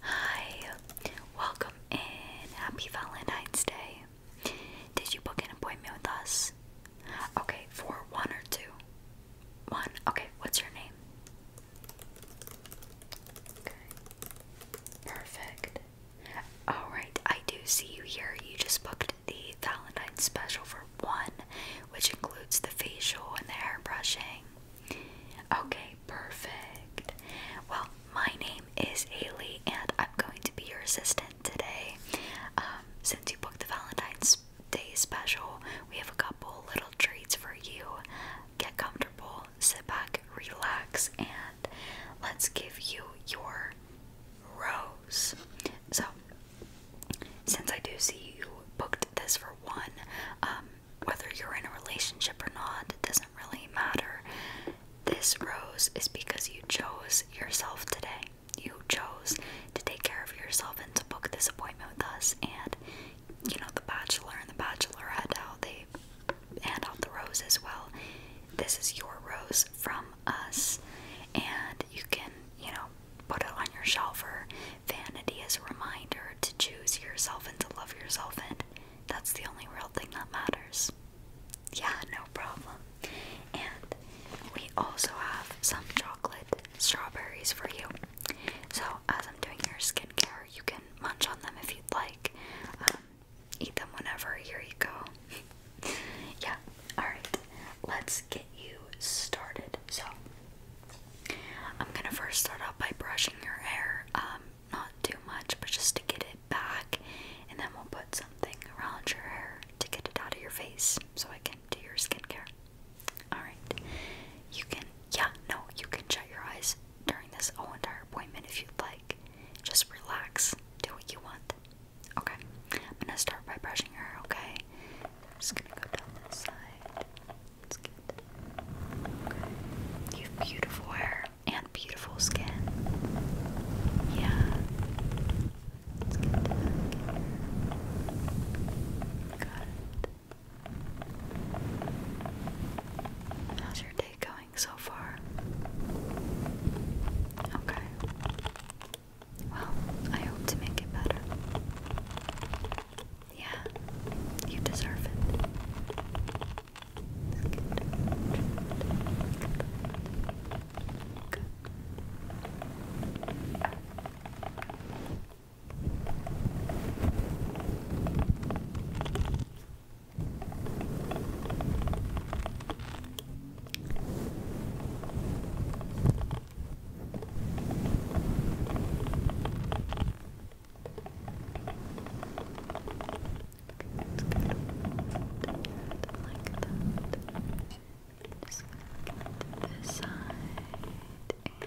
Hi, welcome in. Happy Valentine's Day. Did you book an appointment with us? Okay, for one or two? One. Okay, what's your name? Okay. Perfect. Alright, I do see you here. You just booked the Valentine's special for one, which includes the facial and the hair brushing. Okay, perfect. Well, my name is Ailey, and I'm going to be your assistant today. Um, since you booked the Valentine's Day special, we have a couple little treats for you. Get comfortable sit back, relax, and let's give you your rose. So, since I do see you booked this for one, um, whether you're in a relationship or not, it doesn't really matter. This rose is because you chose yourself today. You chose to take care of yourself and to book this appointment with us. And you know, the bachelor and the bachelorette, how they and on the rose as well. This is your rose from us, and you can, you know, put it on your shelf or vanity as a reminder to choose yourself and to love yourself, and that's the only real thing that matters. Yeah, no problem. And we also have some chocolate strawberries for you. So, as I'm doing your skincare, you can munch on them if you'd like. Um, eat them whenever. Here you go. yeah. All right. Let's get you started. So, I'm gonna first start off by brushing your hair. Um, not too much, but just to get it back, and then we'll put something around your hair to get it out of your face, so I can do your skincare. All right. You can. Yeah. No. You can shut your eyes during this whole entire appointment if you'd like just relax, do what you want. Okay, I'm gonna start by brushing her, okay? I'm just gonna go down this side. It's good. You have beautiful hair and beautiful skin. Yeah. Let's get How's your day going? so far? Okay. Well, I hope to make it better. Yeah, you deserve it. Good. Just gonna get this side and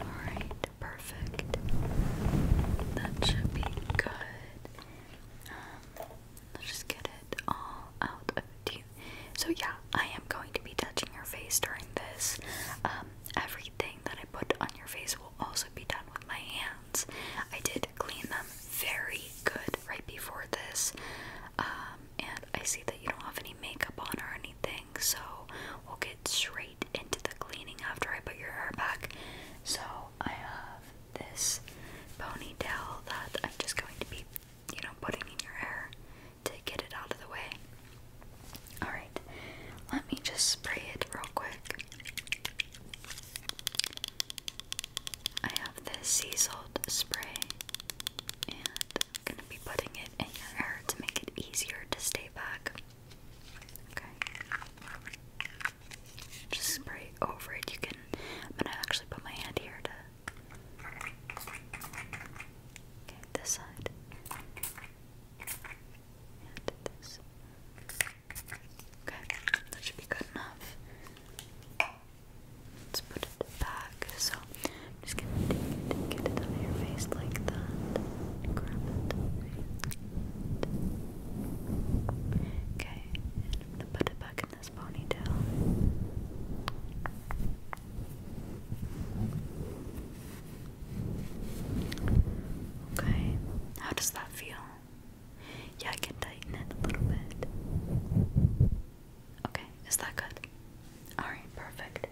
all right, perfect. That should be good. Um, let's just get it all out of you. So yeah, I am going to be touching your face during this. Um, everything that I put on your face will also be done with my hands. I did clean them very good right before this. Um, and I see that you don't have any makeup on or anything, so we'll get straight into the cleaning after I put your hair back. So I have this ponytail that I'm just going to be, you know, putting in your hair to get it out of the way. Alright, let me just spray it real quick. I have this sea salt spray, and I'm going to be putting it in your hair to make it easier to stay back. Okay. Just spray over it. You can. I'm gonna actually put my hand here to. Okay, this side. And this. Okay, that should be good enough. Let's put it back. So, just gonna get it out your face like that. Grab it. Okay, put it back in this ponytail. Okay, how does that feel? Yeah, I can tighten it a little bit. Okay, is that good? Alright, perfect.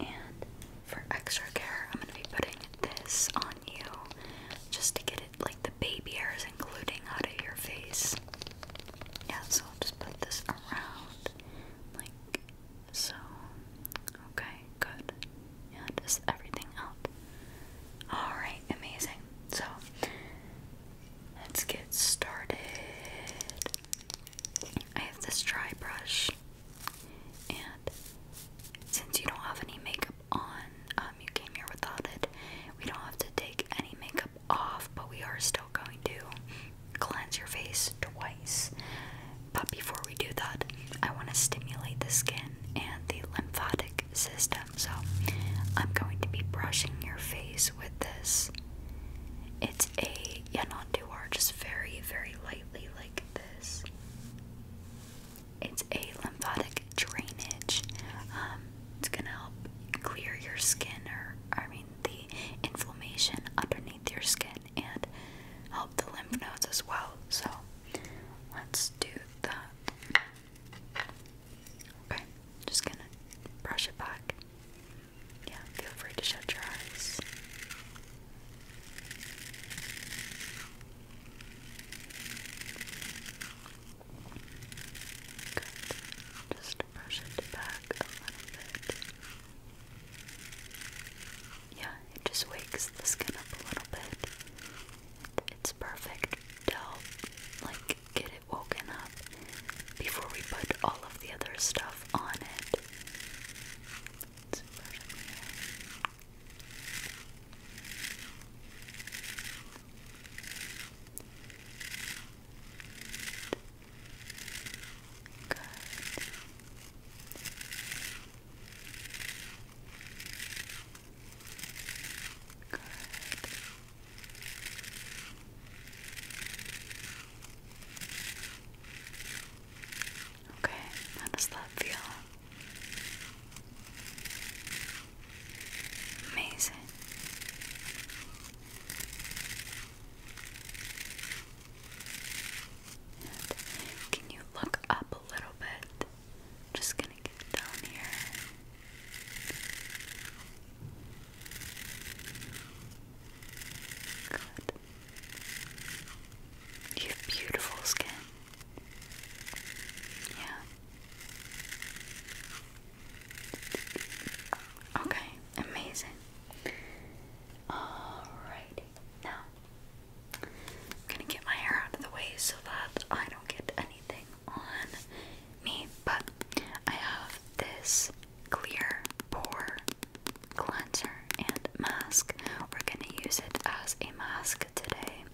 And for extra care, I'm going to be putting this on you just to get it the baby hairs and including out of your face. Yeah, so I'll just put this around like so. Okay, good. Yeah, just everything out. Alright, amazing. So let's get started. I have this dry brush, and since you don't have any makeup on. Um, you came here without it. We don't have to take any makeup off, but we are still going to cleanse your face twice. But before we do that, I want to stimulate the skin and the lymphatic system. So I'm going to be brushing your face with this. It's a yeah, just very, very lightly like this. It's a lymphatic drainage. Um, it's gonna help clear your skin, or I mean, the inflammation underneath your skin, and help the lymph nodes as well. So let's do that. Okay, just gonna brush it back. Yeah, feel free to shut your eyes. Just brush it back a little bit. Yeah, it just wakes the skin up a little bit. It's perfect to like, get it woken up before we put all of the other stuff on it. Good. Good. Okay, how does that feel? Amazing. can you look up a little bit? Just gonna get down here. Good. You have beautiful skin. Yeah. Okay, amazing. Alrighty, now gonna get my hair out of the way so that I don't get anything on me, but I have this clear pore cleanser and mask. We're gonna use it as a mask today,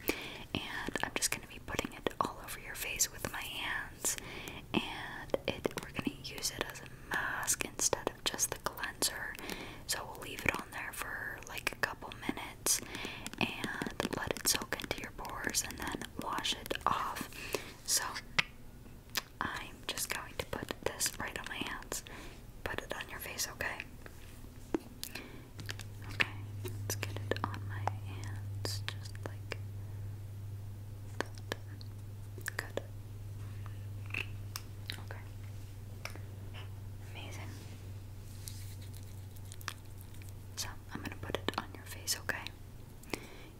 and I'm just gonna be putting it all over your face with my hands, and it we're gonna use it as a mask instead of just the cleanser. So we'll leave it on there for like a couple minutes and let it soak into your pores, and then wash it off. So I'm just going to put this right on my hands. Put it on your face, okay? Okay, let's get it on my hands, just like that. Good. Okay. Amazing. So, I'm gonna put it on your face, okay?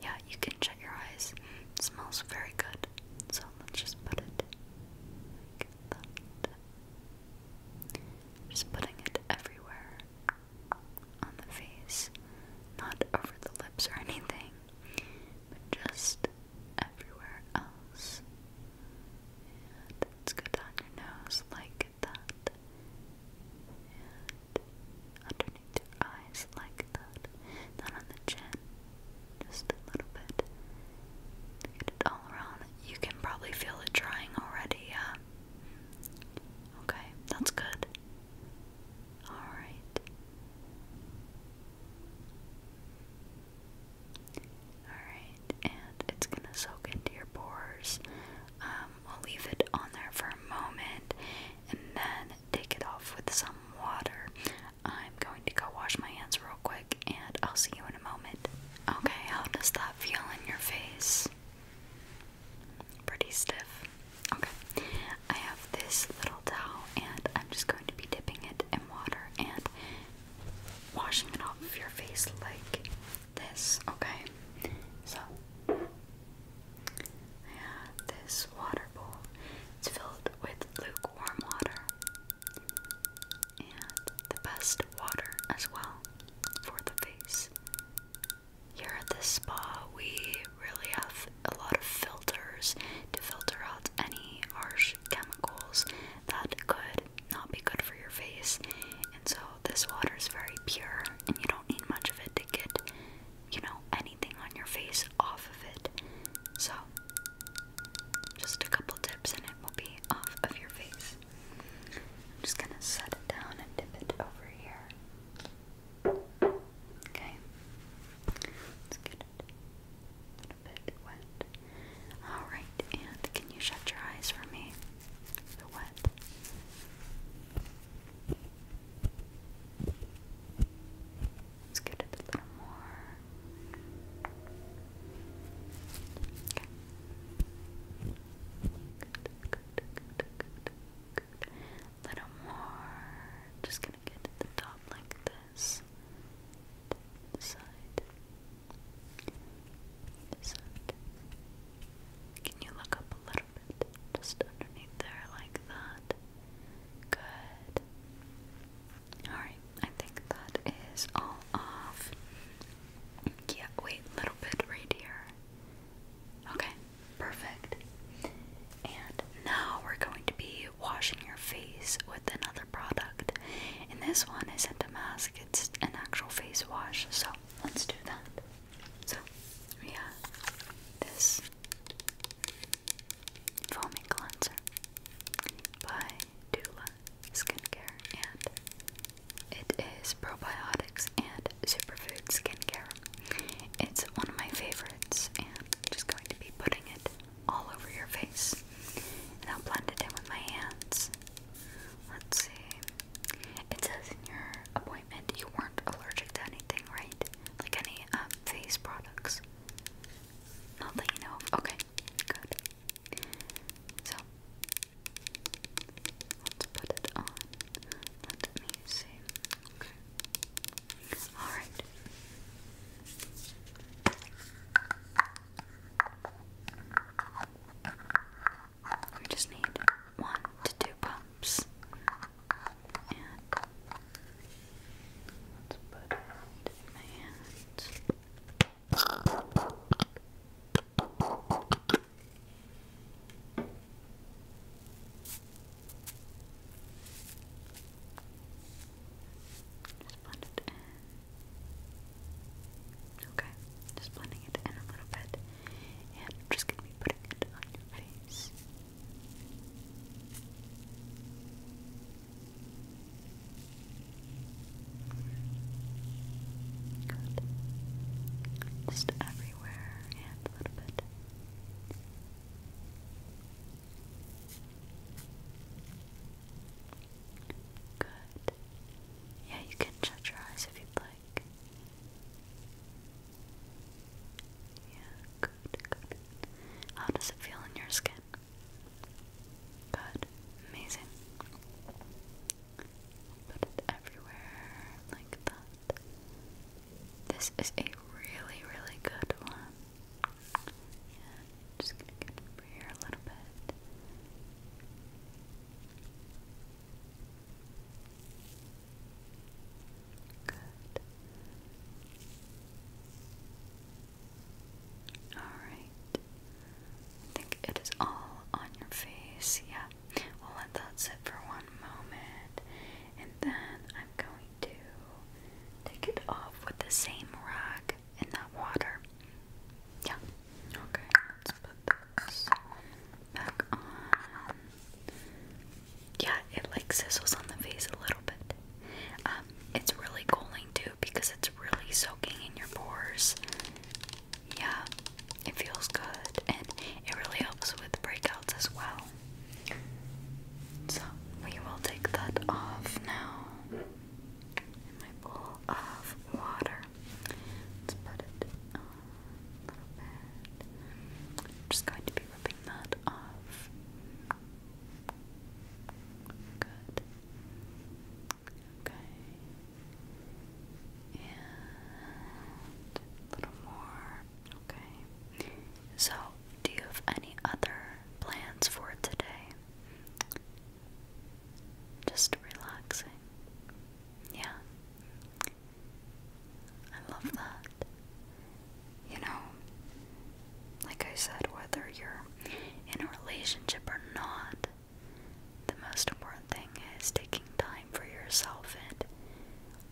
Yeah, you can shut your eyes. smells very good. So, let's just put it like that. Just putting it everywhere on the face, not over the lips or anything, but just everywhere else. And let's go your nose like that, and underneath your eyes like that, then on the chin, just a little bit. Get it all around. You can probably feel it drying already, yeah. Okay, that's good. Alright. Alright, and it's gonna soak into your pores. we'll um, leave it on there for a moment and then take it off with some water. I'm going to go wash my hands real quick and I'll see you in a moment. Okay, how does that feel in your face? Pretty stiff. Okay. I have this little towel and I'm just going to be dipping it in water and washing it off of your face like this. Okay. So this water bowl. It's filled with lukewarm water and the best water as well for the face. Here at this spa, we really have a lot of filters to filter out any harsh chemicals that could not be good for your face. And so, this water is very pure, and you don't need much of it to get, you know, anything on your face off of it. So, just a couple tips, and it will be off of your face. I'm just gonna set it down and dip it over here. Okay. Let's get it a bit wet. Alright, and can you shut your eyes for me? The wet. Let's get it a little more good, Little more. Just gonna get to the top like this. side. side. Can you look up a little bit? Just underneath there like that. Good. Alright, I think that is all off. Yeah, wait, little right here. Okay, perfect. And now we're going to be washing your face with another product. And this one isn't a mask, it's an actual face wash. So let's do that. So we this foaming cleanser by Dula Skincare and it is probiotics and superfood skincare. It's one of my favorites, and I'm just going to be putting it all over your face. And I'll blend it in with my hands. Let's see. It says in your appointment you weren't allergic to anything, right? Like any um, face products. Not that you know Okay, good. So, Let's put it on. Let me see. Okay. Alright. We just need one to two pumps. And let's put my hand. Just blend it in. Okay, just blending it in a little bit, and just gonna be putting it on your face. Just everywhere and a little bit. Good. Yeah, you can shut your eyes if you'd like. Yeah, good, good. How does it feel in your skin? Good, amazing. Put everywhere like that. This is a really, really good one. And just gonna get over here a little bit. Good. Alright. I think it is all on your face. Yeah we'll let that sit for one moment, and then I'm going to take it off with the same rag in that water. Yeah. Okay, let's put this back on. Yeah, it like sizzles on the face a little bit. Um, it's really cooling too because it's really soaking in your pores yeah, it feels good and it really helps with breakouts as well. So we will take that off now. In my bowl of water. Let's put it a little bit. just going to be ripping that off. Good. Okay. And a little more. Okay. So, do you have any other plans for today? Just relaxing. Yeah. I love that. You know, like I said, whether you're in a relationship or not, the most important thing is taking time for yourself and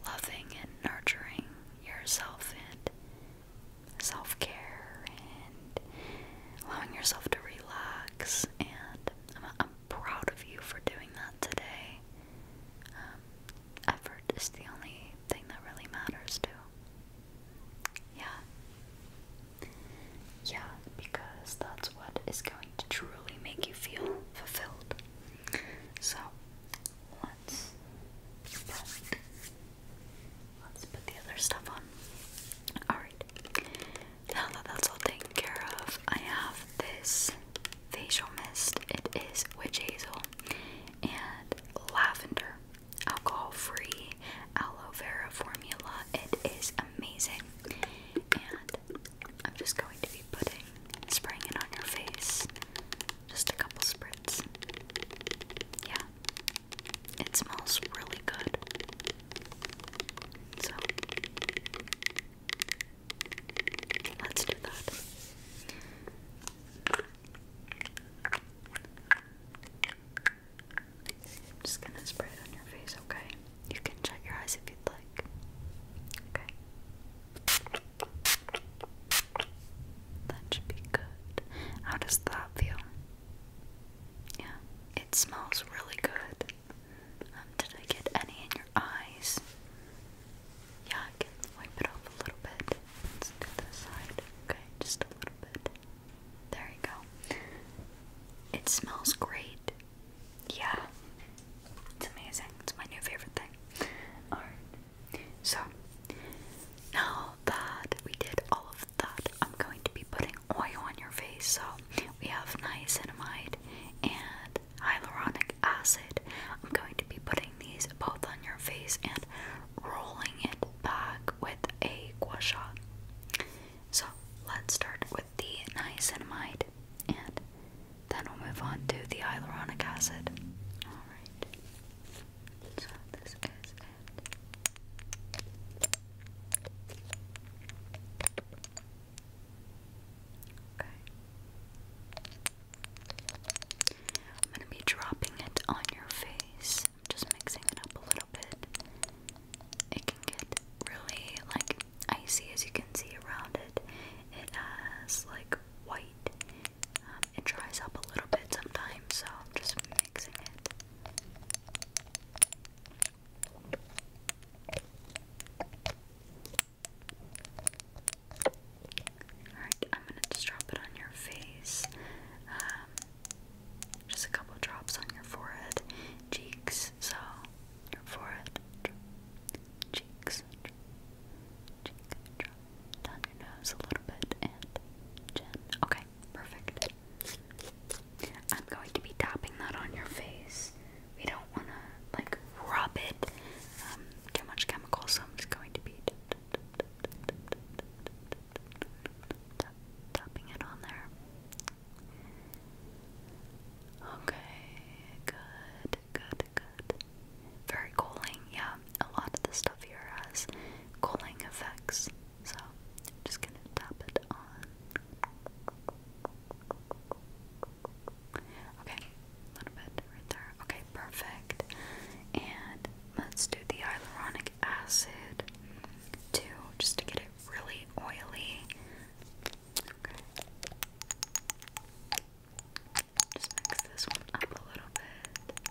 loving and nurturing yourself and self care and allowing yourself to relax. And I'm, proud of you for doing that today. Um, effort is the only thing that really matters, too. Yeah. Yeah, because that's what is going to truly make you feel fulfilled. So let's put, the other stuff on. Alright. Now that that's all taken care of, I have this facial mist. It is witch hazel and lavender. Alcohol free aloe vera formula. It is amazing. I'm just going to be putting, spraying it on your face. Just a couple spritz. Yeah. It smells really good. So, let's do that. I'm just gonna spray it on your face, okay? You can shut your eyes if you'd like. Okay. That should be good. How does that feel? Yeah, it smells really good. Um, did I get any in your eyes? Yeah, I can wipe it off a little bit. Let's do this side. Okay, just a little bit. There you go. It smells great yeah, it's amazing. It's my new favorite thing. Alright, so now that we did all of that, I'm going to be putting oil on your face. So we have niacinamide and hyaluronic acid. I'm going to be putting these both on your face and rolling it back with a gua sha. So let's start with the niacinamide, and then we'll move on to the hyaluronic acid. Alright, so this is Okay. I'm going to be dropping it on your face. just mixing it up a little bit. It can get really like icy as you can see around it. It has like white. Um, it dries up a little bit sometimes, so I'm just mixing it. Alright, I'm gonna just drop it on your face. Um, just a couple drops on your forehead, cheeks, so forehead, cheeks, cheek, down your nose a little bit, and chin. Okay, perfect. I'm going to be tapping that on your face. We don't want to like rub it. Um, too much chemical, so I'm just going to be tapping it on there. Okay, good, good, good. Very cooling, yeah. A lot of the stuff here has cooling effects, so I'm just gonna tap it on. Okay, a little bit right there. Okay, perfect. And let's do the hyaluronic acid too, just to get it really oily. Just mix this one up a little bit.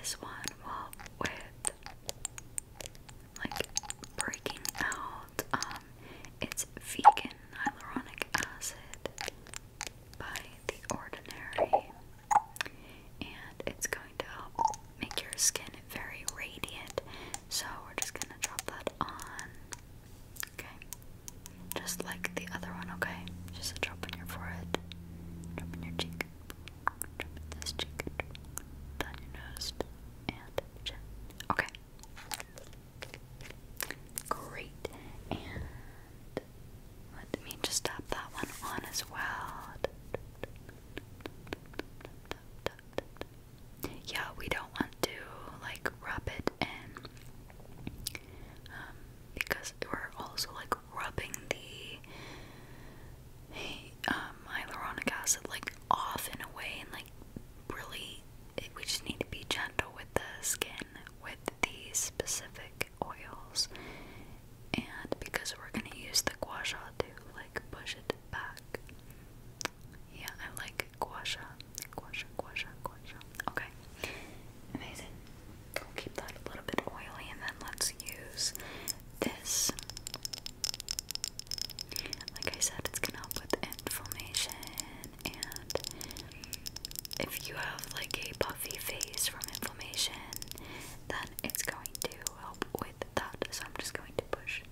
This one will with like breaking out um, it's vegan hyaluronic acid by The Ordinary, and it's going to help make your skin very radiant. So we're just gonna drop that on, okay? Just like the other one, okay? Just a drop on your forehead, drop in your cheek, drop in this cheek, down your nose, and chin. Okay. Great. And let me just tap that one on as well. Yeah, we don't want to like rub it in um, because we're also like rubbing the um, hyaluronic acid like off in a way, and like really, we just need to be gentle with the skin with these specific oils and because we're gonna use the gua sha to like push it back. Yeah, I like gua sha. Gua sha, gua sha, gua sha. Okay. Amazing. keep that a little bit oily and then let's use this. Like I said, it's gonna help with inflammation and if you have like a puffy face from inflammation, then it's going to help with that. So I'm just going to push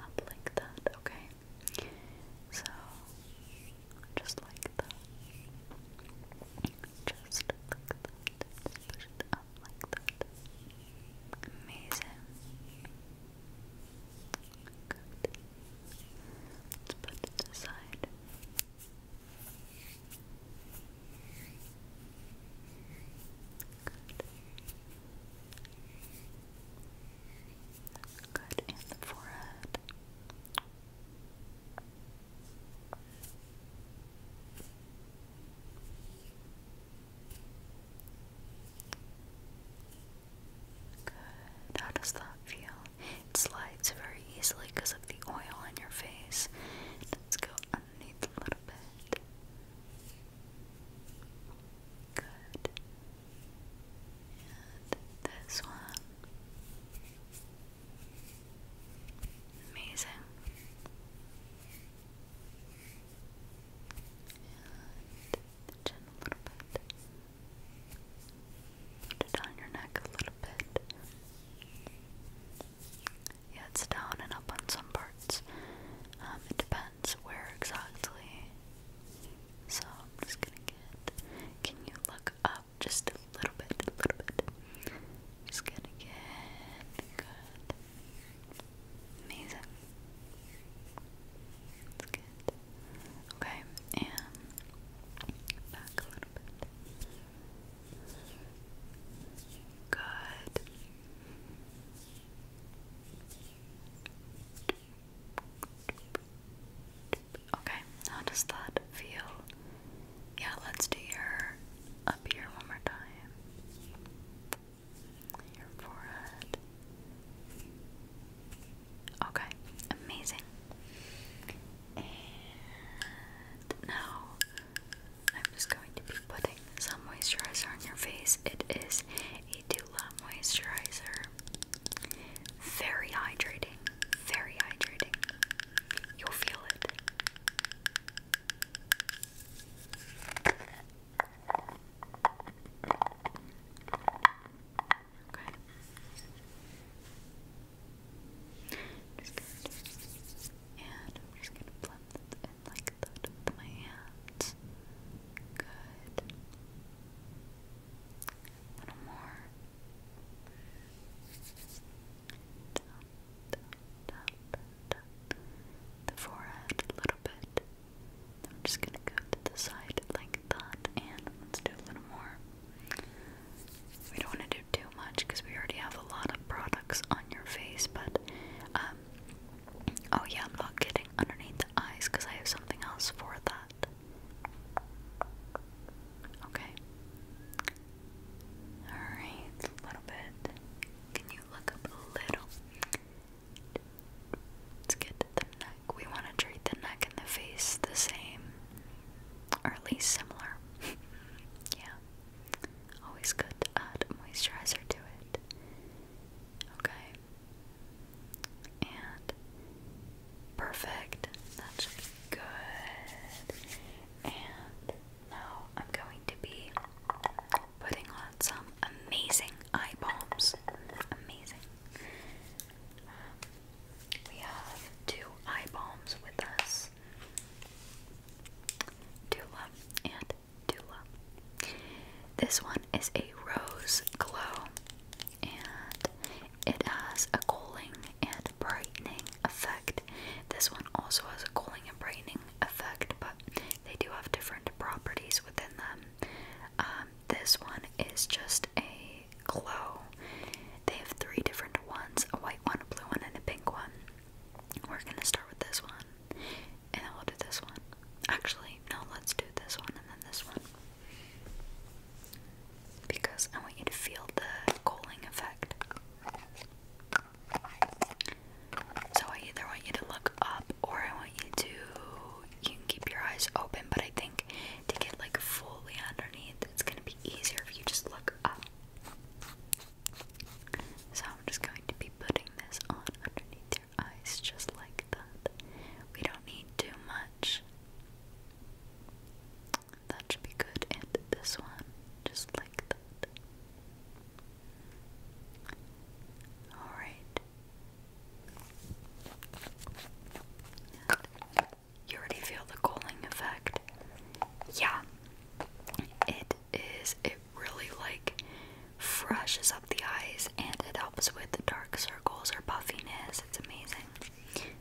up like that, okay? So just like that. Just like that. Just push it up like that. Amazing. Good. Let's put it aside. Good in the forehead. Good. How does that feel? It slides very easily because of the oil on your face. Let's go underneath a little bit. Good. And this one. Amazing. And a little bit. Put it on your neck a little bit. Yeah, it's down and up on some parts. Um, it depends where exactly. So I'm Can you look up just a little bit? A little bit. Just going good. Amazing. That's Okay, and back a little bit. Good. Okay, how does that feel? Yeah, let's do your up here one more time. Your forehead. Okay, amazing now I'm just going to be putting some moisturizer on your face. It is a Dula moisturizer. Very hydrating, very hydrating. You'll feel it. Okay. Just going And I'm just gonna blend it like that with my hands. Good. A little more. The forehead a little bit. just gonna go to the side like that, and let's do a little more. We don't want to do too much because we already have a lot of products on your face, but um, oh yeah, not getting underneath the eyes because I have something else for that. Okay. Alright, a little bit. Can you look up a little? Let's get to the neck. We want to treat the neck and the face the same. Or at least similar. yeah always good to add moisturizer to it. Okay. And perfect. That good. And now I'm going to be putting on some amazing eye balms. Amazing. Um, we have two eye balms with us. Dula and Dula. This one is a rose glow and it has a cooling and brightening effect. This one also has a cooling and brightening effect, but they do have different properties within them. Um, this one is just a glow they have three different ones a white one, a blue one, and a pink one. We're gonna start with this one, and then we'll do this one. Actually, no, let's do this one and then this one. Because I want you to feel the cooling effect. So I either want you to look up or I want you to you can keep your eyes open, but I think to get like fully underneath, it's gonna be easier if you just look up. So I'm just going to be putting this on underneath your eyes just like that. We don't need too much. That should be good. And this one, just like that. Alright. You already feel the cooling effect. Yeah. It is, it really like freshes up the eyes and it helps with dark circles or puffiness. It's amazing.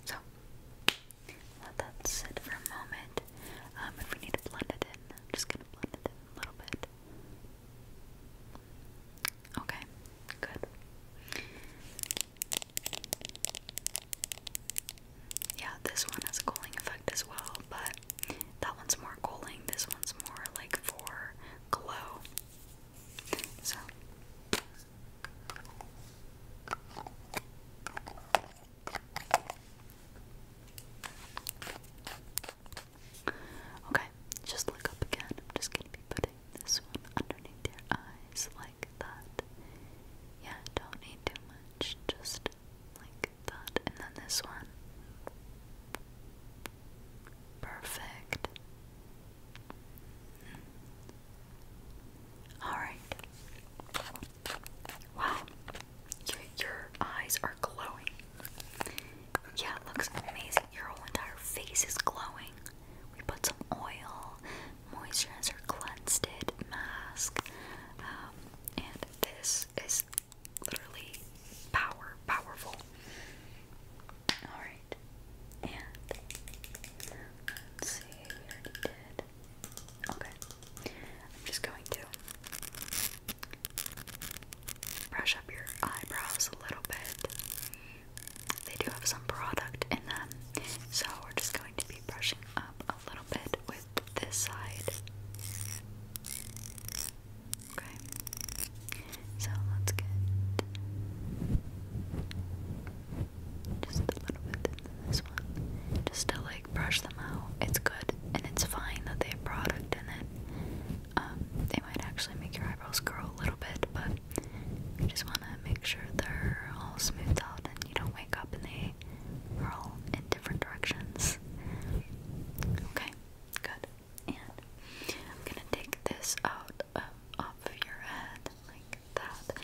So, let that sit for a moment. Um, if we need to blend it in, just gonna blend it in a little bit. Okay, good. Yeah, this one has a cooling effect as well, but that one's more cooling, this one's more like for glow. So Okay, just look up again. I'm just gonna be putting this one underneath your eyes like that. Yeah, don't need too much, just like that, and then this one. Perfect. All right. Wow, your, your eyes are glowing. Yeah, it looks amazing. Your whole entire face is glowing. We put some oil, moisturizer cleansed it mask. Um, and this is literally power powerful. Alright. And let's see, we Okay. I'm just going to brush up your eyebrows a little bit. They do have some product in them. So we're just going to be brushing up a little bit with this side. Okay. So let's just a little bit in this one. Just to like brush them out. It's good and it's fine that they product in it. Um, they might actually make your eyebrows curl a little bit, but you just want to make sure they're all smoothed out and you don't wake up in the they are all in different directions. Okay, good. And I'm gonna take this out of, your head like that,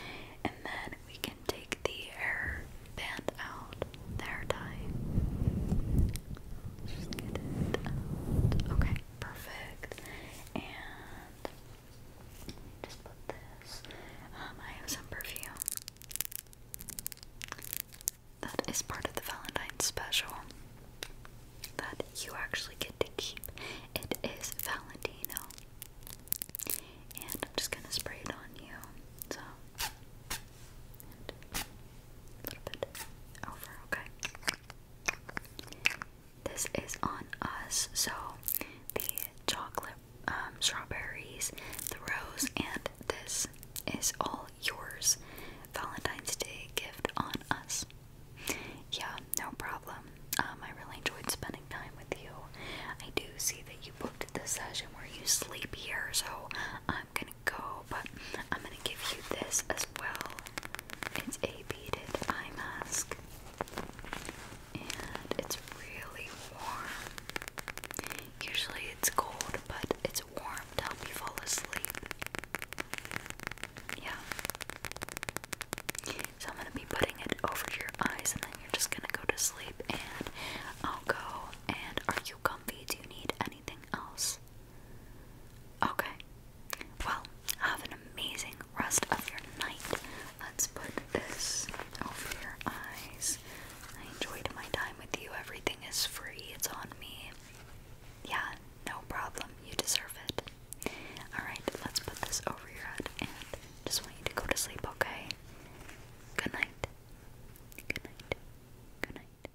and then we can take the hair band out, the hair tie. Just get it out. Okay, perfect. And just put this. Um, I have some perfume. That is part of the Valentine special that you actually get to keep. It is Valentino. And I'm just gonna spray it on you. So a little bit over, okay. This is on us, so the chocolate um, strawberries, the rose, and this is all yours. Valentine's Day gift on us. Yeah, no problem. Um, I really enjoyed spending time with you. I do see that you booked this session where you sleep here, so I'm gonna go, but I'm gonna give you this as well. It's a beaded eye mask and it's really warm. Usually it's cold, but it's warm to help you fall asleep. Yeah. So I'm gonna be putting it over your eyes, and then you're just gonna go to sleep. And I'll go. And are you comfy? Do you need anything else? Okay. Well, have an amazing rest of your night. Let's put this over your eyes. I enjoyed my time with you. Everything is free, it's on me. Yeah, no problem. You deserve it. Alright, let's put this over your head and just want you to go to sleep, okay? Good night. Good night. Good night.